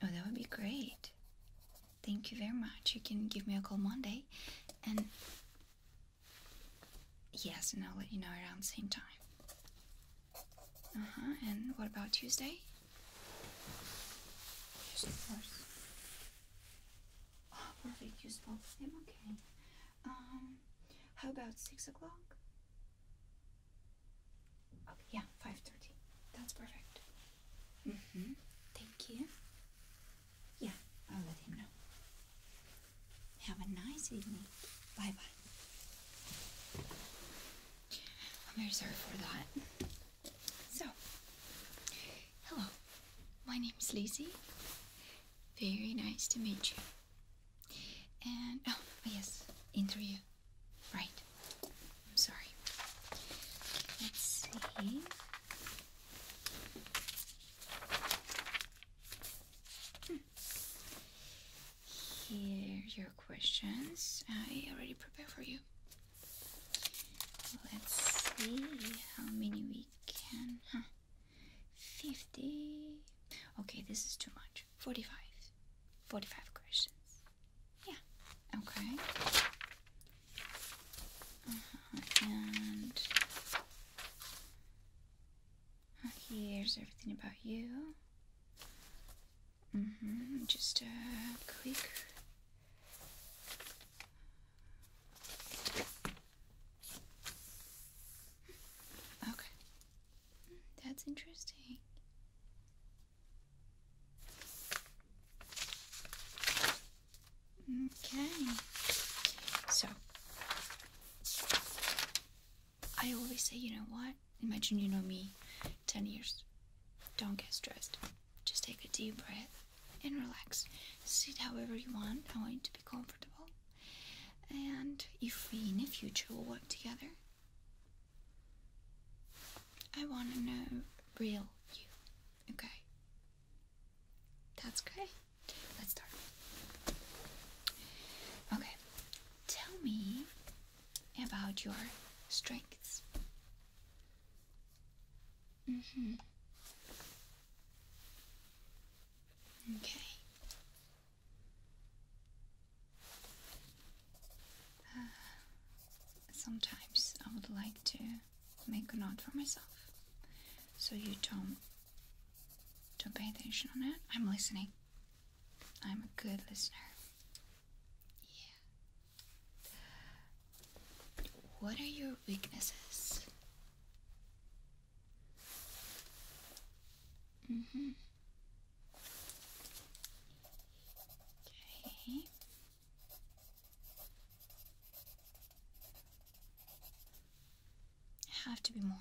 Oh, that would be great. Thank you very much. You can give me a call Monday and yes, and I'll let you know around the same time. Uh huh. And what about Tuesday? Yes, of course. Oh, perfect. You spoke with Okay. Um, how about six o'clock? Okay, oh, yeah, five thirty. That's perfect. Mm-hmm. Thank you. Yeah, I'll let him know. Have a nice evening. Bye bye. I'm very sorry for that. So, hello, my name is Lizzie. Very nice to meet you. And, oh, yes, interview. Right. I'm sorry. Let's see. Hmm. Here your questions. I already prepared for you. Let's see how many we can. 50. Okay, this is too much. 45. 45 questions. Yeah. Okay. Uh-huh, and uh, here's everything about you. Mm -hmm. Just a quick. Okay. That's interesting. Okay. So, I always say, you know what? Imagine you know me 10 years. Don't get stressed. Just take a deep breath and relax. Sit however you want. I want you to be comfortable. And if we in the future will work together, I want to know real you. Okay? That's great. Let's start. Okay. Tell me about your strengths. Mm hmm Okay. Uh, sometimes I would like to make a note for myself, so you don't don't pay attention on it. I'm listening. I'm a good listener. Yeah. What are your weaknesses? hmm. Okay. Have to be more.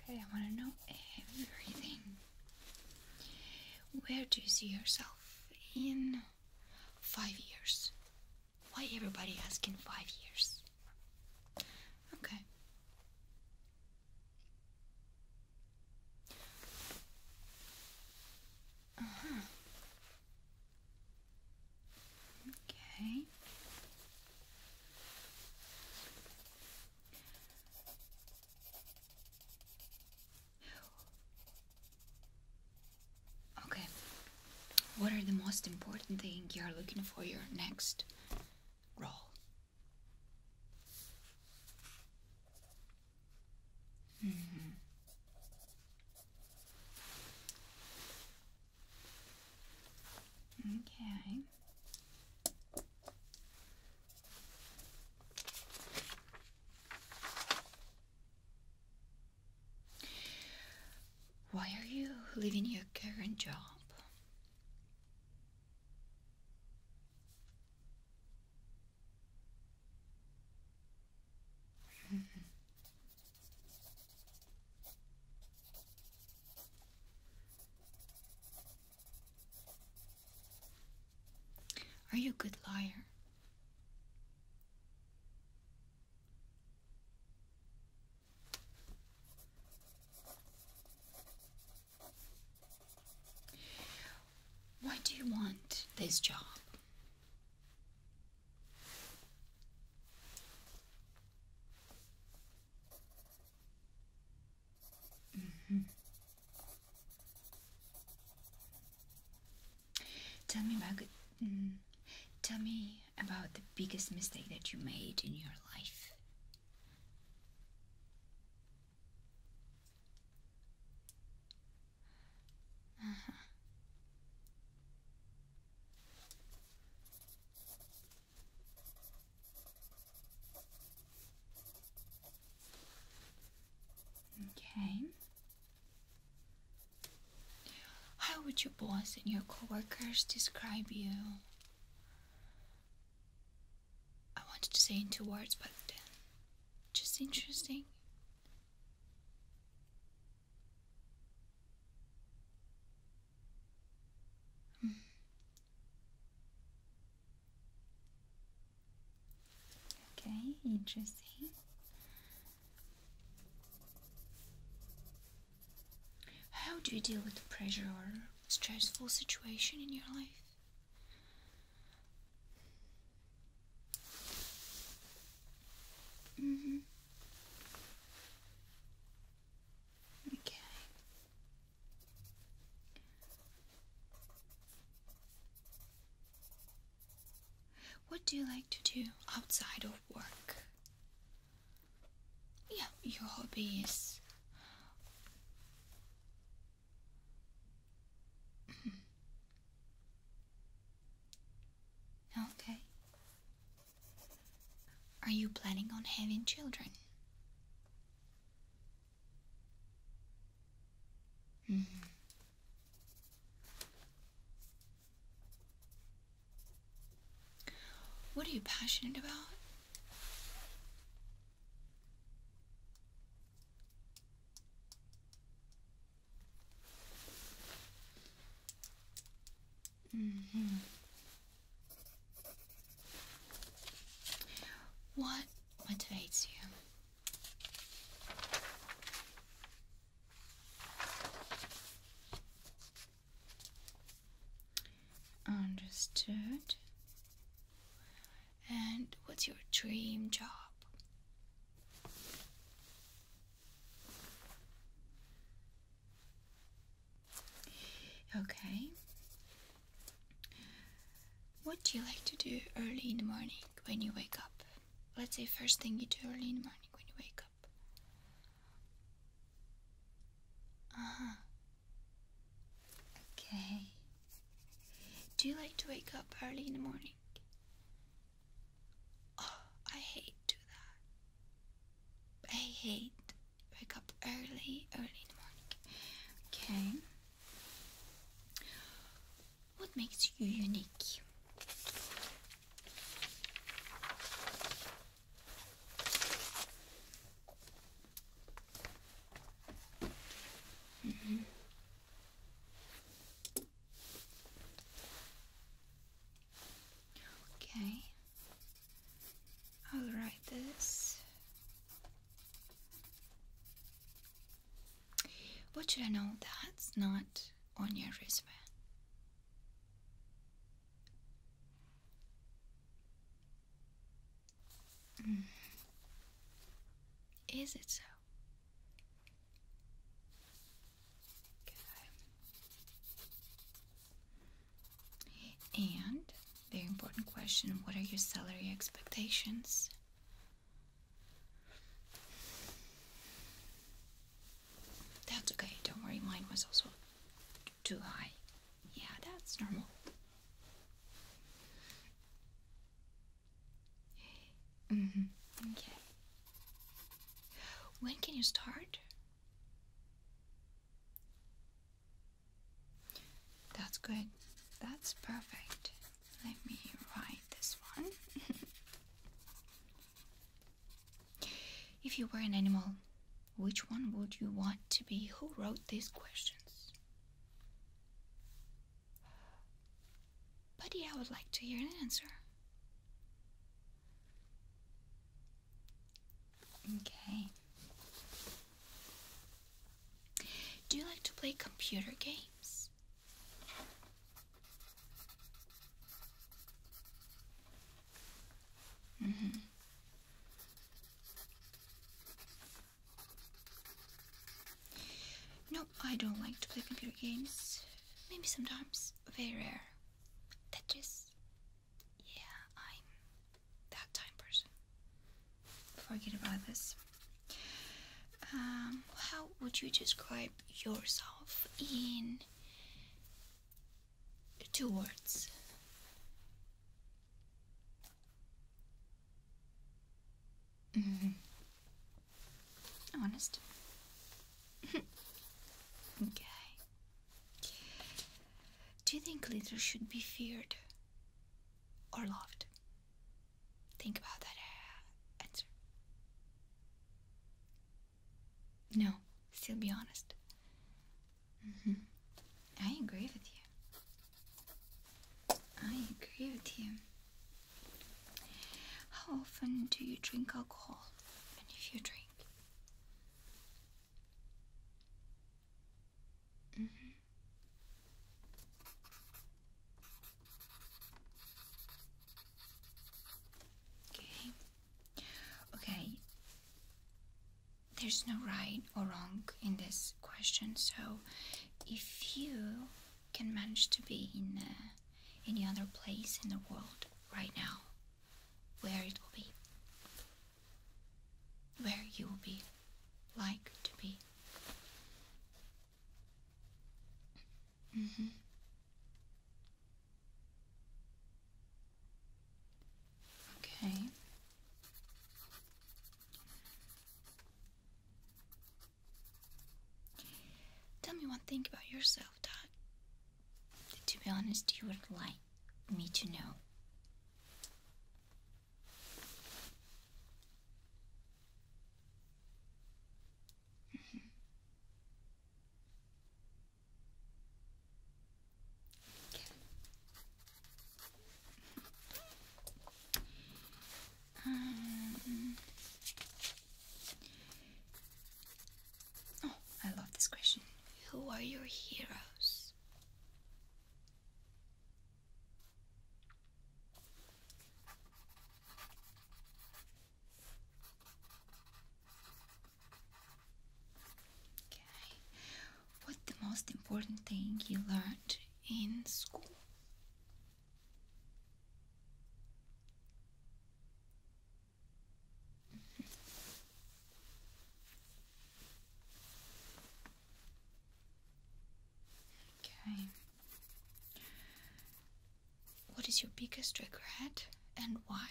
Okay, I want to know everything. Where do you see yourself in five years? Why everybody asking five years? Okay. Uh huh. Okay. Okay. What are the most important things you are looking for your next role? Mm-hmm. Okay. Why are you leaving your current job? Are you a good liar? Why do you want this job? Mm-hmm. Tell me about mm, tell me about the biggest mistake that you made in your life. Uh-huh. Okay. How would your boss and your coworkers describe you? I wanted to say in two words, but uh, just interesting. Hmm. Okay, interesting. How do you deal with the pressure or stressful situation in your life? Mm -hmm. Okay. What do you like to do outside of work? Yeah, your hobbies. Mm-hmm. okay. Are you planning on having children? Mm-hmm. What are you passionate about? -hmm. What motivates you? Understood. And what's your dream job? Okay. What do you like to do early in the morning when you wake up? Let's say first thing you do early in the morning when you wake up. Uh huh. Okay. Do you like to wake up early in the morning? Oh, I hate do that. I hate wake up early, early in the morning. Okay. What makes you unique? Mm-hmm. Okay, I'll write this what should I know that's not on your resume? Mm. Is it so? And very important question what are your salary expectations? That's okay, don't worry, mine was also too high. Yeah, that's normal. Mm-hmm. Okay. When can you start? That's good. That's perfect. Let me write this one. if you were an animal, which one would you want to be? Who wrote these questions? Buddy, I would like to hear an answer. Okay. Do you like to play computer games? Mm-hmm. No, I don't like to play computer games. Maybe sometimes, very rare. Tetris. Yeah, I'm that time person. Forget about this. Um, how would you describe yourself in two words? Mm -hmm. Honest. okay. Do you think leaders should be feared? or loved? Think about that uh, answer. No, still be honest. Mm-hmm. I agree with you. I agree with you. How often do you drink alcohol? And if you drink? Mm-hmm. Okay. Okay. There's no right or wrong in this question, so if you can manage to be in uh, any other place in the world right now, where it will be, where you will be like to be. Mm-hmm. Okay. Tell me one thing about yourself, Todd. To be honest, you would like me to know. Um, oh, I love this question. Who are your heroes? Okay. What's the most important thing you learned in school? Okay. What is your biggest regret and why?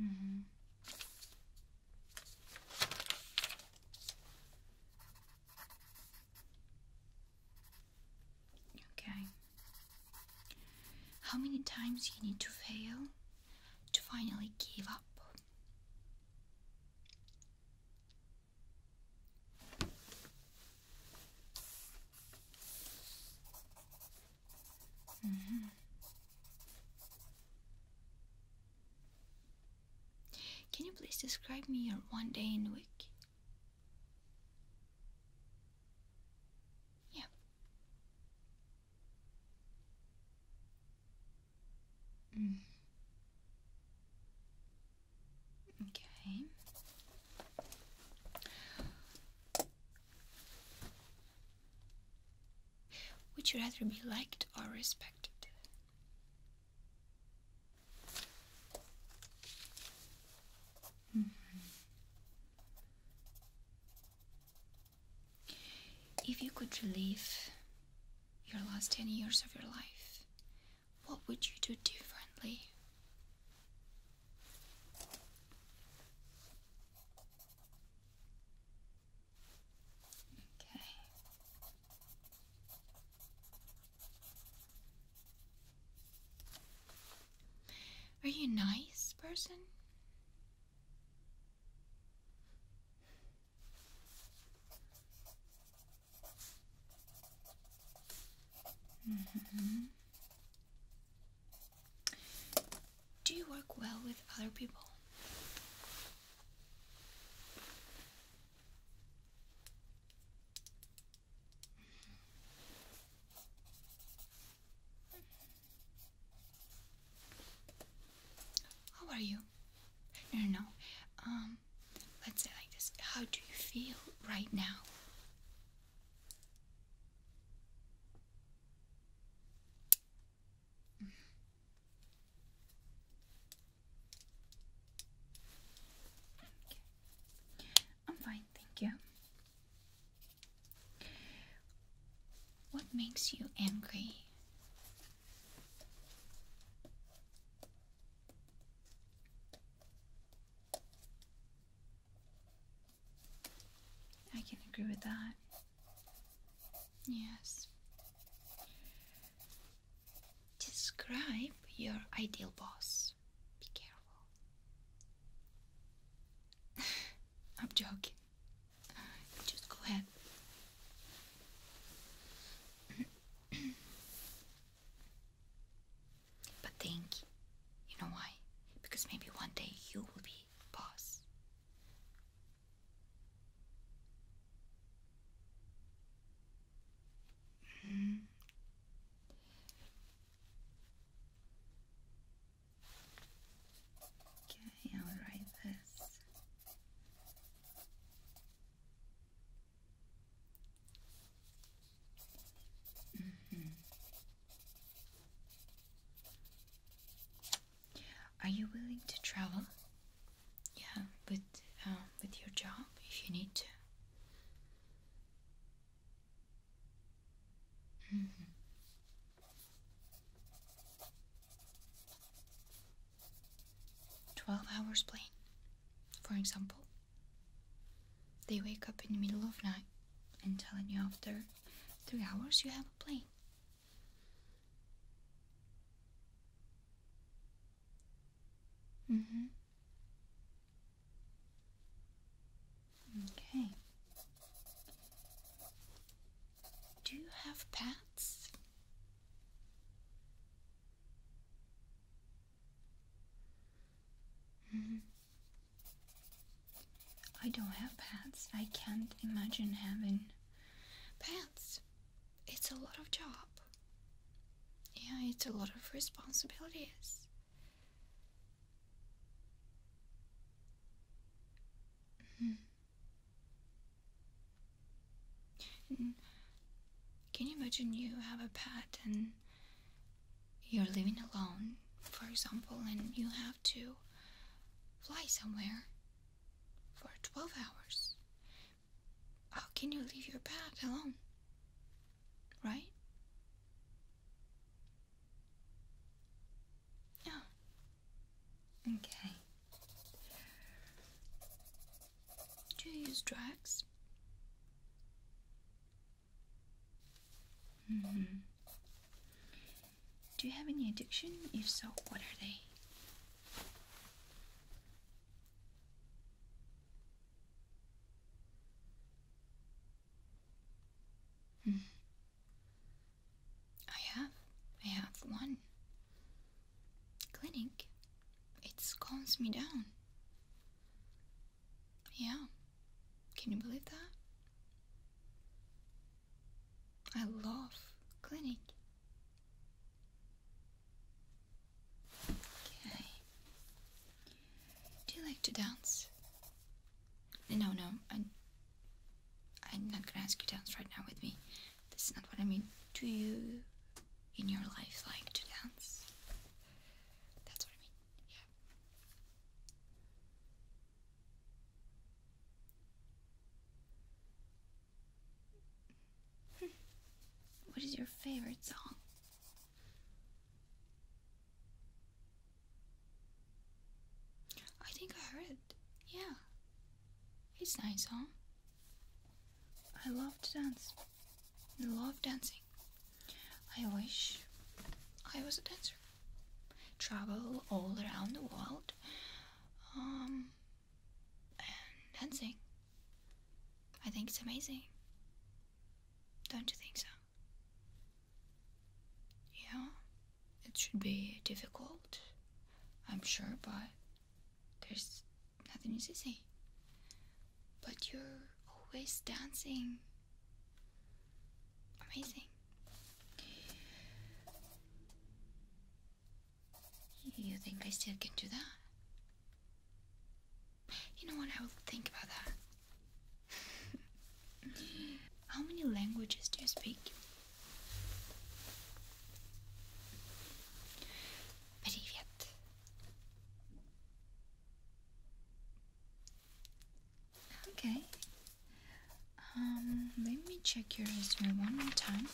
hmm Okay. How many times you need to fail to finally give up? Mm-hmm. Can you please describe me your one day in the week? Yeah. Mm. Okay. Would you rather be liked or respected? Mm-hmm. If you could relive your last 10 years of your life, what would you do differently? Okay. Are you a nice person? Mm-hmm. Do you work well with other people? How are you? No, no, Um, let's say like this. How do you feel right now? Okay. I'm fine, thank you. What makes you angry? I can agree with that. Yes. Describe your ideal boss be careful. I'm joking. Just go ahead. but think, you know why? Because maybe one day you will be boss. Hmm. Okay, I'll write this. Mm-hmm. Are you willing to travel? Yeah, with um, with your job if you need to. 12 hours plane, for example. They wake up in the middle of night and telling you after 3 hours you have a plane. hmm Okay. Do you have pets? Mm. I don't have pants. I can't imagine having pants. It's a lot of job. Yeah, it's a lot of responsibilities. Hmm. Can you imagine you have a pet and you're living alone, for example, and you have to fly somewhere for 12 hours? How can you leave your pet alone? Right? Oh. Okay. Do you use drugs? Mm-hmm. Do you have any addiction? If so, what are they? Hmm. I have. I have one. Clinic. It calms me down. Yeah. Can you believe that? I love clinic. Okay. Do you like to dance? No, no, I, I'm not gonna ask you to dance right now with me. This is not what I mean. Do you, in your life, like to dance? That's what I mean, yeah. What is your favorite song? I think I heard Yeah. It's nice, huh? I love to dance. I love dancing. I wish I was a dancer. Travel all around the world. Um, and dancing. I think it's amazing. Don't you think so? Yeah, it should be difficult, I'm sure, but there's nothing easy. But you're always dancing. Amazing. You think I still can do that? You know what? I will think about that. How many languages do you speak? Привет. Okay. Um, let me check your resume one more time.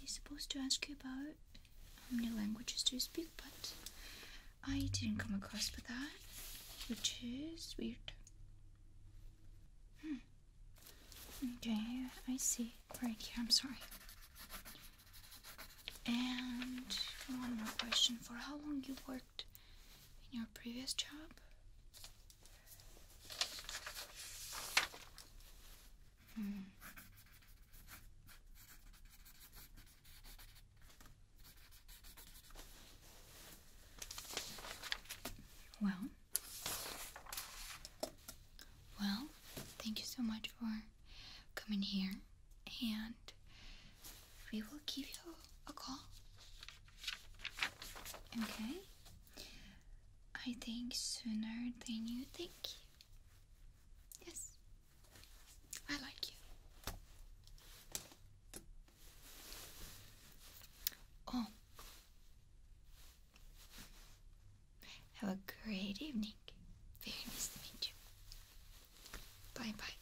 they supposed to ask you about how many languages do you speak, but I didn't come across with that, which is weird. Hmm. Okay, I see. Right here, I'm sorry. And one more question for how long you worked in your previous job? Hmm. Well, well, thank you so much for coming here, and we will give you a call. Okay? I think sooner than you think. Yes, I like you. Oh. Have a great evening. Very nice to meet you. Bye bye.